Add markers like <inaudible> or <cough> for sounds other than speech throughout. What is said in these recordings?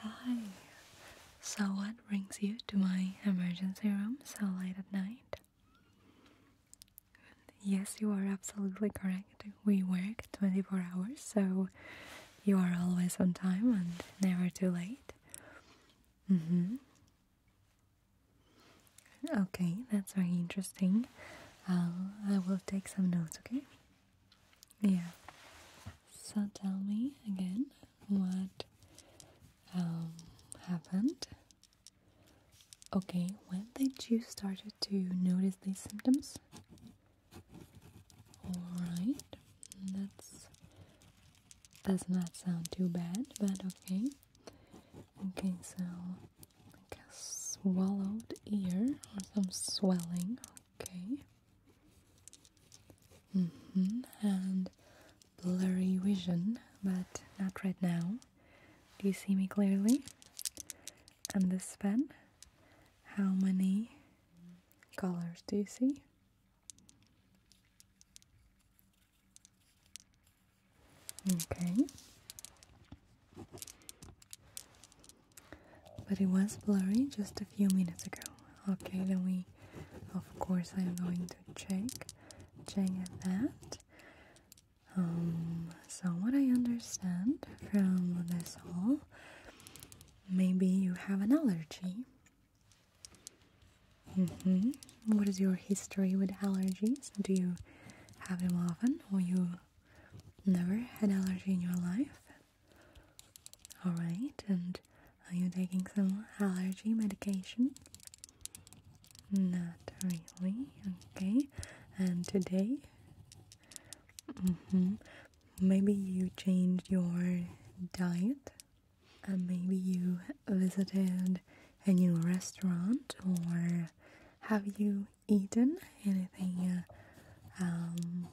Hi. So, what brings you to my emergency room so late at night? Yes, you are absolutely correct. We work 24 hours, so you are always on time and never too late. Mm hmm. Okay, that's very interesting. I will take some notes, okay? Yeah. So tell me again what um, happened. Okay, when did you started to notice these symptoms? Alright, that's does not sound too bad, but okay. Okay, so like a swallowed ear or some swelling, okay. Mm -hmm. And blurry vision, but not right now. Do you see me clearly? And this pen, how many colors do you see? Okay. But it was blurry just a few minutes ago. Okay, then we of course, I'm going to check, check that. Um, so, what I understand from this all, maybe you have an allergy. Mm -hmm. What is your history with allergies? Do you have them often, or you never had allergy in your life? Alright, and are you taking some allergy medication? Not really, okay. And today? Mm-hmm, maybe you changed your diet? And maybe you visited a new restaurant or have you eaten anything um,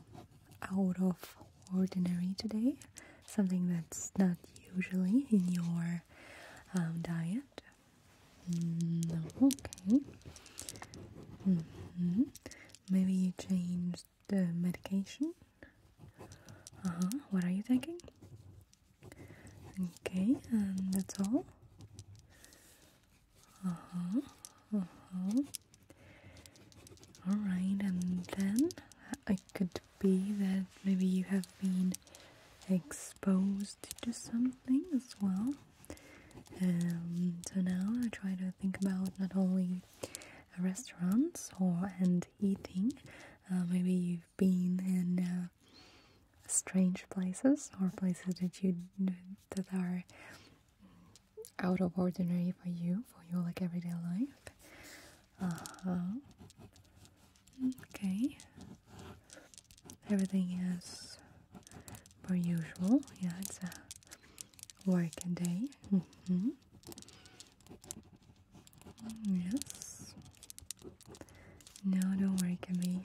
out of ordinary today, something that's not usually in your um, diet. Mm, okay. Mm-hmm. Maybe you changed the medication. Uh huh. What are you taking? Okay, and that's all. Uh huh. Uh huh. Alright, and then it could be that maybe you have been exposed to something as well. Um, so now I try to think about not only restaurants or and eating. Uh, maybe you've been in uh, strange places or places that you that are out of ordinary for you for your like everyday life uh-huh. Okay. Everything is per usual. Yeah, it's a working day. Mm -hmm. Yes. No, don't worry, it can be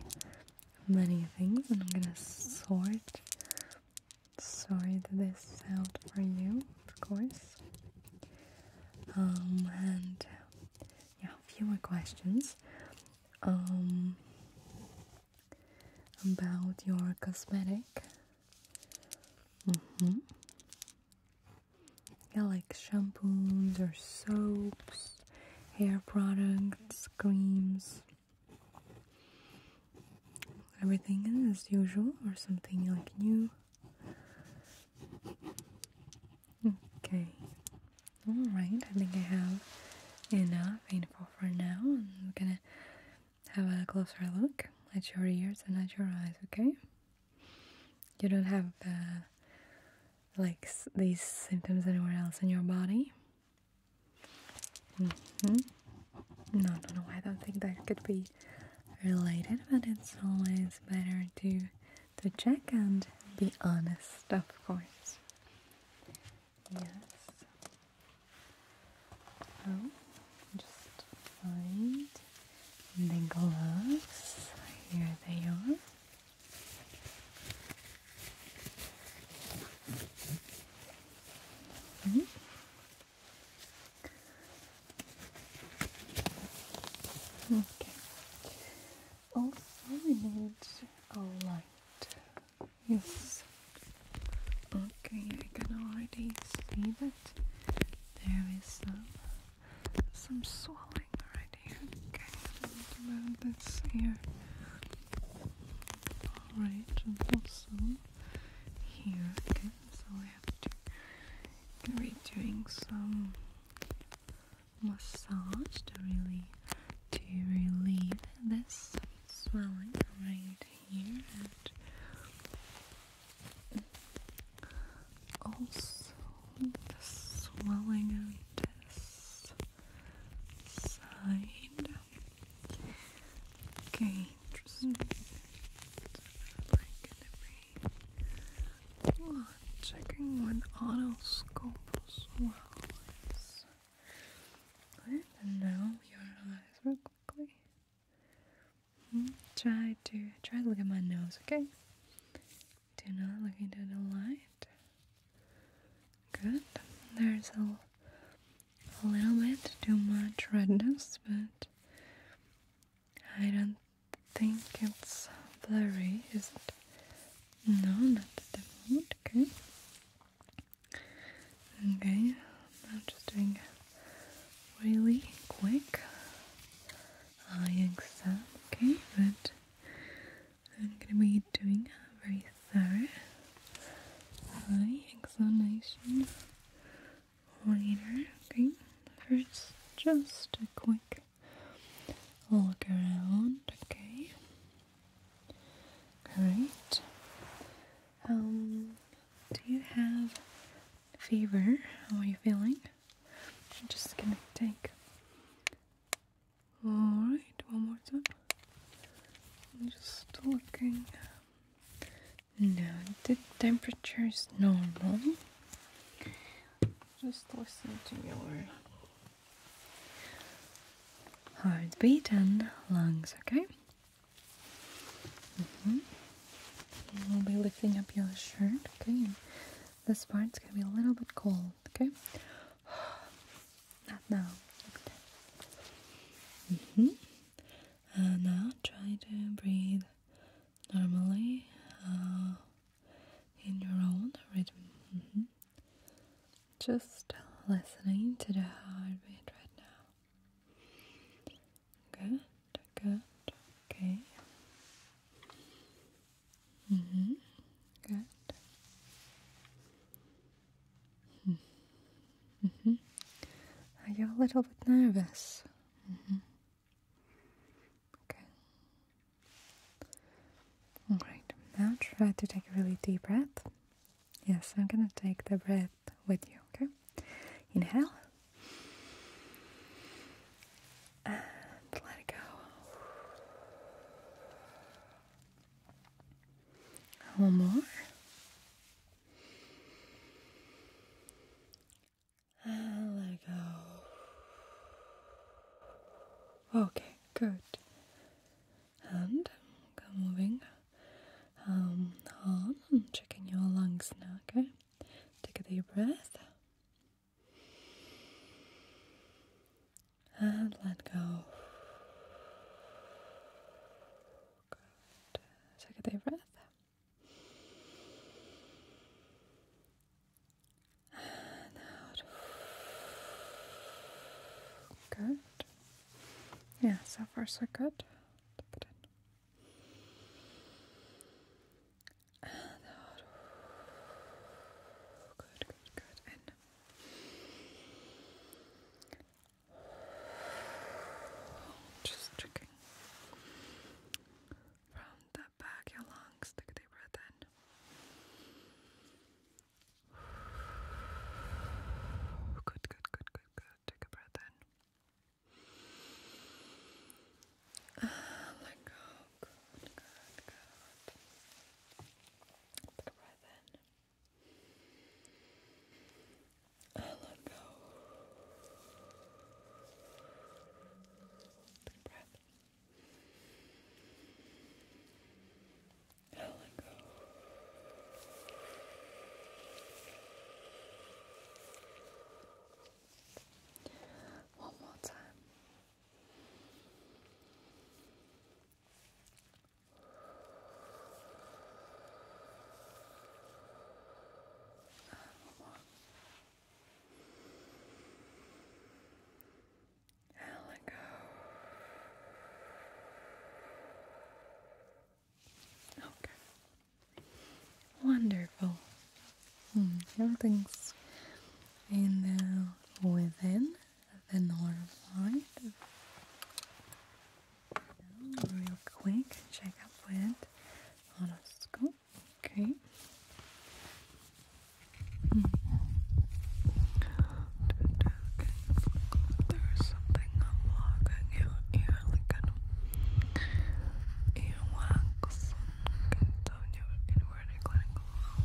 many things and I'm gonna sort Sorry that this out for you, of course. Um, and yeah, a few more questions. Um, about your cosmetic. Mm-hmm. Yeah, like shampoos or soaps, hair products, creams. Everything as usual or something like new. Okay. Alright, I think I have enough info for now. We're gonna have a closer look at your ears and at your eyes, okay? You don't have uh, like these symptoms anywhere else in your body? Mm -hmm. No, no, no, I don't think that could be related, but it's always better to to check and be honest, of course. Yes. So oh, just find the gloves. Here they are. Mm-hmm. Okay. Also, we need a light. Yes. Okay, I can already see that there is some some swelling already. Okay, move this here. Alright, also here. Okay, so I I have to be doing some massage to really to relieve this swelling right here and also the swelling of this side. Okay, Oh, checking when autoscope swells. Good, now your eyes real quickly. Hmm, try to try to look at my nose, okay? Do not look into the light. Good. There's a, a little bit too much redness, but I don't think it's blurry, is it? No, not at the moment, okay. Okay, I'm just doing really quick eye exam, okay, but I'm gonna be doing a very thorough eye examination Okay, first just a quick look around. Okay, great. Um, do you have fever? How are you feeling? I'm just gonna take. Alright, one more time. I'm just looking no, the temperature is normal. Just listen to your heart beating, lungs, okay? Mm-hmm. We'll be lifting up your shirt, okay? This part's gonna be a little bit cold, okay? <sighs> Not now. Okay. Mm -hmm. And now try to breathe normally uh, in your own rhythm. Mm-hmm. Just listening to the heartbeat right now. Good, good, okay. Mm -hmm. Good. Mm -hmm. Are you a little bit nervous? Mm-hmm. Okay. All right. Now try to take a really deep breath. Yes, I'm gonna take the breath with you. Okay. Inhale. And let it go. One more. And let go. Okay, good. And come moving um, I'm checking your lungs now, okay? Take a deep breath. And let go. Good. Take a deep breath. And out. Good. Yeah, so far so good. in. And out. Good, good, good. In. Just checking from the back of your lungs. Take a deep breath in. <sighs> Good, good, good, good, good. Take a breath in. let go. Good, good, good. Take a breath in. let go. Deep breath. Now let go. One more time. And one more let go. Okay. Wonderful. Everything's hmm, in the within the norm line. real quick, check with on Okay. Hmm. There's something unblocking your ear, like kind of earwax okay, down your inward clinical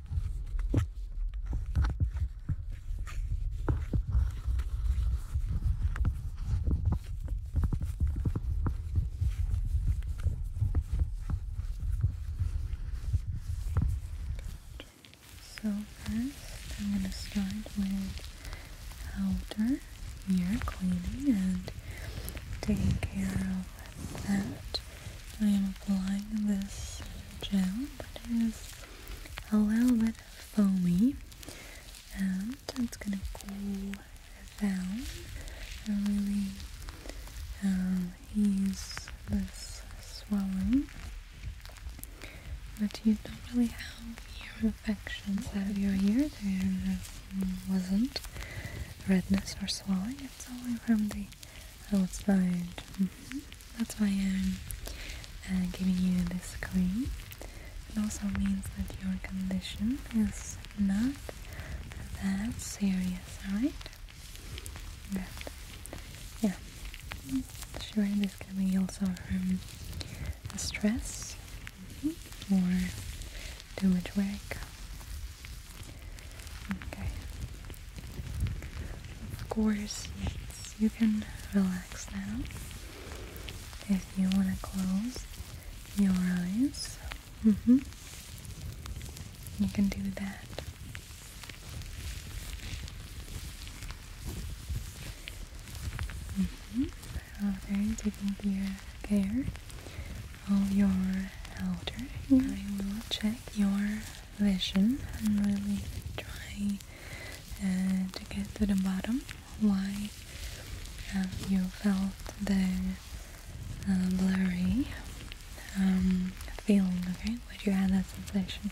So first, I'm going to start with elder. You're cleaning and taking care of like that. I am applying this gel but it is a little bit foamy and it's gonna cool down and really um, ease this swelling. But you don't really have ear infections that of your ear. There wasn't redness or swelling. It's only from the outside. Mm mm-hmm. fine. That's why I'm uh, giving you this cream. It also means that your condition is not that serious, alright? yeah, sure, this can be also from stress mm-hmm, or too much work Okay. Of course, yes, you can relax now. If you want to close your eyes, mm you can do that. Okay. Mm-hmm. taking care, of your outer, I will check your vision and really trying uh, to get to the bottom why have um, you felt the uh, blurry um, feeling, okay? But you had that sensation.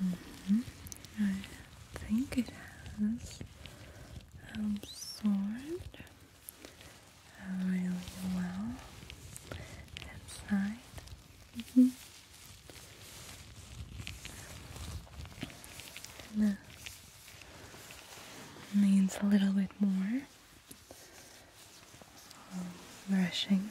Mm-hmm. I think it has absorbed really well inside. Mm-hmm. And that a little bit more brushing.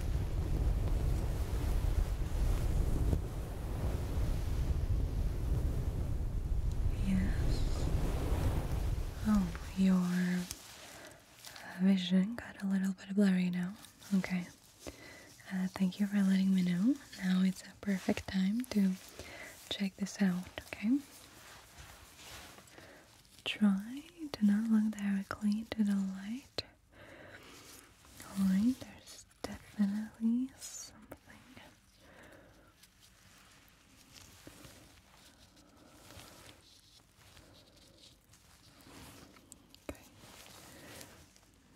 Yes. Oh, your vision got a little bit blurry now. Okay. Uh, thank you for letting me know. Now it's a perfect time to check this out, okay? Try to not look directly into the light. Alright, there's definitely something.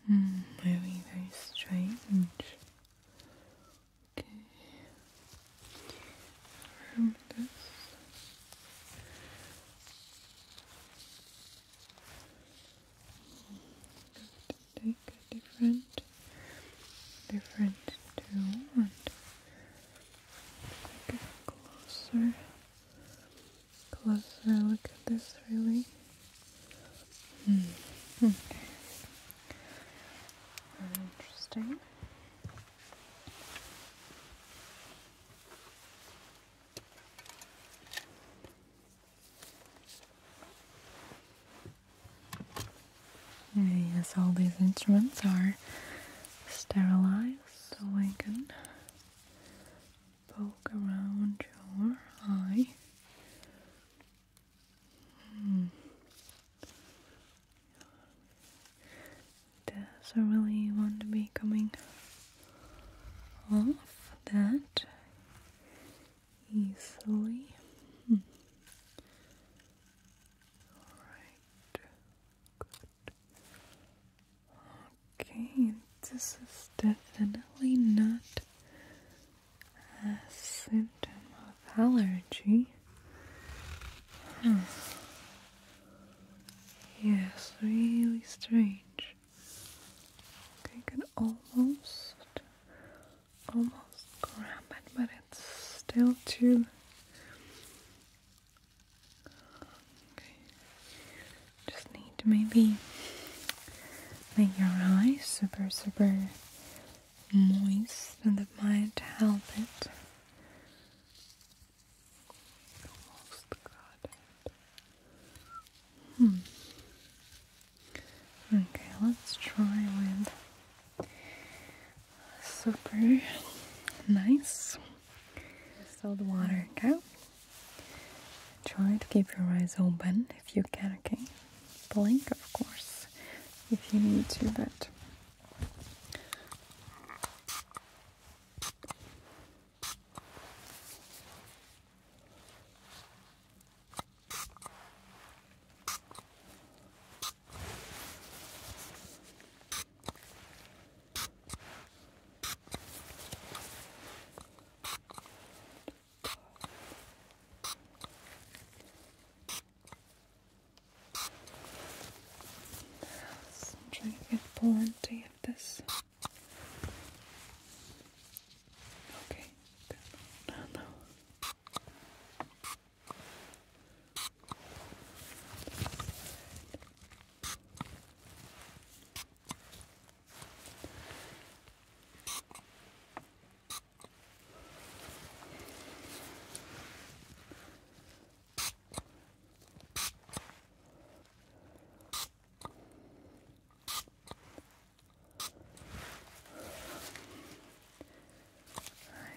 Hmm, very, very strange. Okay. Remember this. Take a different, different tool and take closer, closer look at this. Really. Mm. interesting. Yes, all these instruments are sterilized so we can poke around your eye. Hmm. Does I really want to be coming off that easily. Hmm. Alright, good. Okay, this is definitely not a symptom of allergy. Hmm. Yes, really strange. Okay, can almost, almost grab it, but it's still too. just need to maybe make your eyes super, super moist, and that might help it. Hmm. Okay, let's try with super nice salt water, okay? Try to keep your eyes open if you can, okay? Blink, of course, if you need to, but I'm trying to get plenty of this Okay, no, no.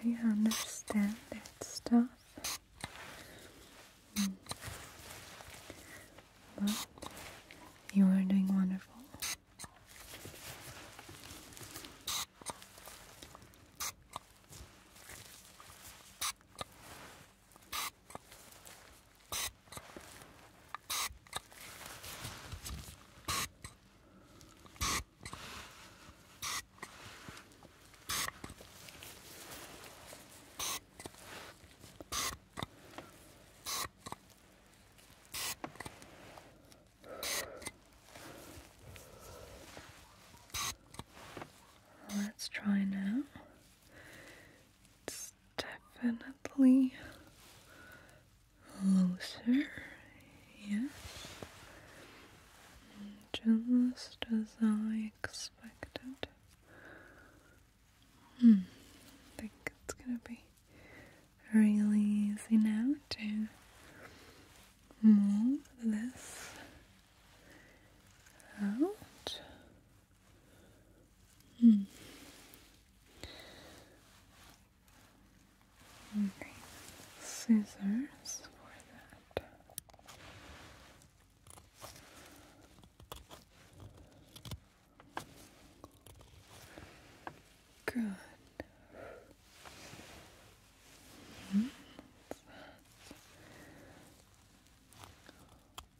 I understand that stuff, mm. you are doing wonderful. Let's try now definitely looser, yeah. just as I expected. I hmm. think it's gonna be really easy now to move this out. Mm. Okay, scissors for that. Good. -hmm.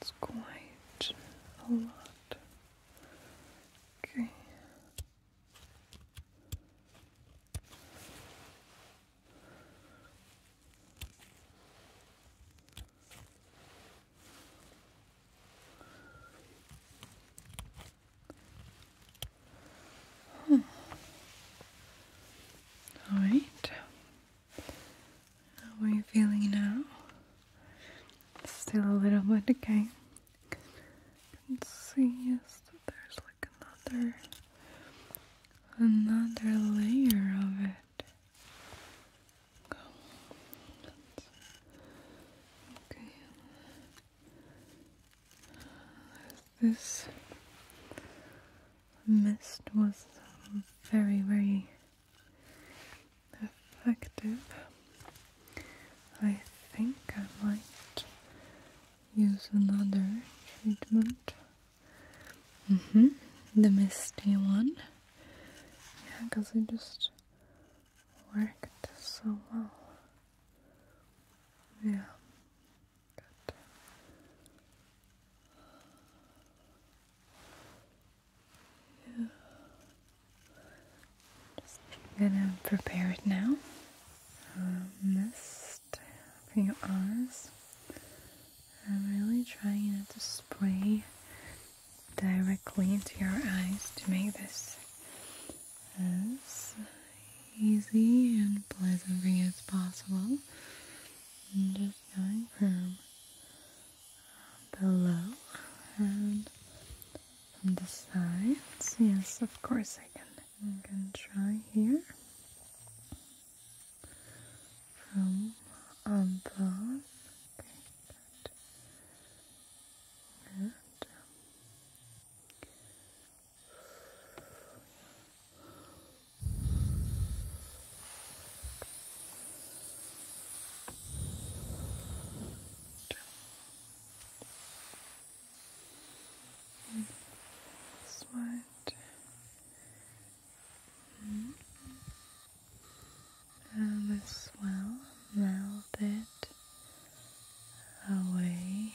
It's quite a lot. Okay. All right. How are you feeling now? Still a little bit okay. I can see that there's like another another layer of it. Okay. This mist was very, very effective. I think I might use another treatment. Mm hmm The misty one. Yeah, because it just worked so well. Yeah. Good. Yeah. Just gonna prepare it now. Um, mist for your eyes. I'm really trying to spray directly into your eyes to make this as easy and pleasant as possible. I'm just going from below and from the sides. Yes, of course I can. I can try here from above. Okay, good. Good. This one. Mm -hmm. And as well, melt away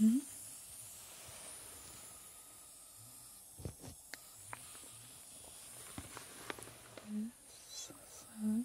Mm-hmm. This side.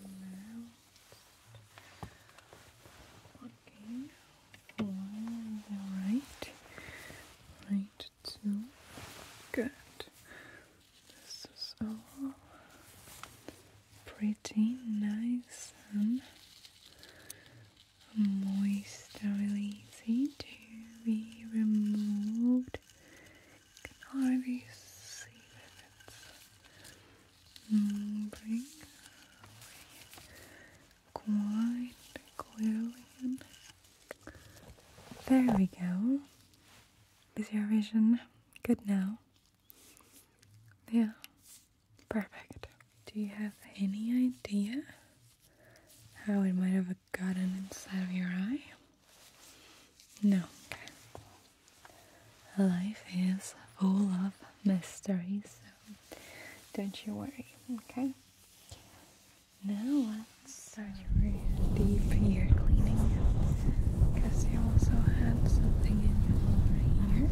Now, working right, right two, good. This is all pretty nice and moist, easy to be removed. You it's quite clearly. There we go. Is your vision good now? Yeah, perfect. Do you have any idea how it might have gotten inside of your eye? No. Life is full of mysteries, so don't you worry, okay? Now let's start your deep ear cleaning because you also had something in your lower ear.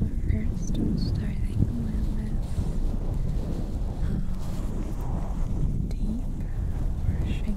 But first, starting with um, deep brushing.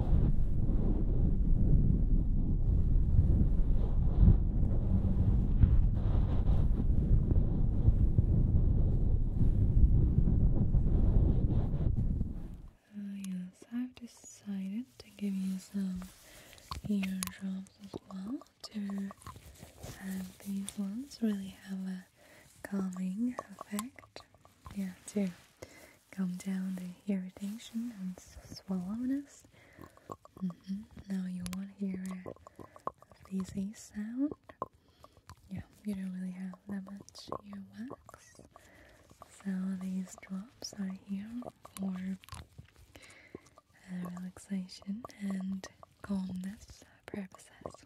Uh, yes, I've decided to give you some ear drops as well to these ones really have a calming effect. Yeah, too. Come down the irritation and swallowness. Mm-hmm. Now you want to hear a fizzy sound. Yeah, you don't really have that much earwax. So these drops are here for uh, relaxation and calmness purposes.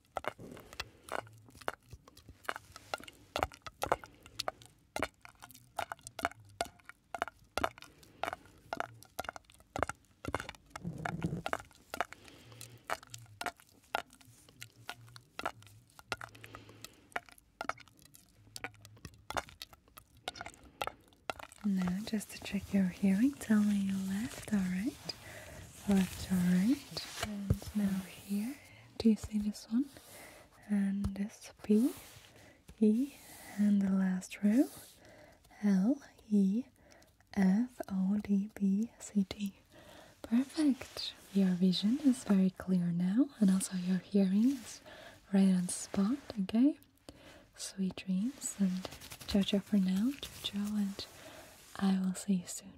Now, just to check your hearing, tell me left all right? Left all right? And now here, do you see this one? And this P, E, and the last row L, E, F, O, D, B, C, D. Perfect! Your vision is very clear now, and also your hearing is right on spot, okay? Sweet dreams, and ciao ciao for now, ciao ciao, and I will see you soon.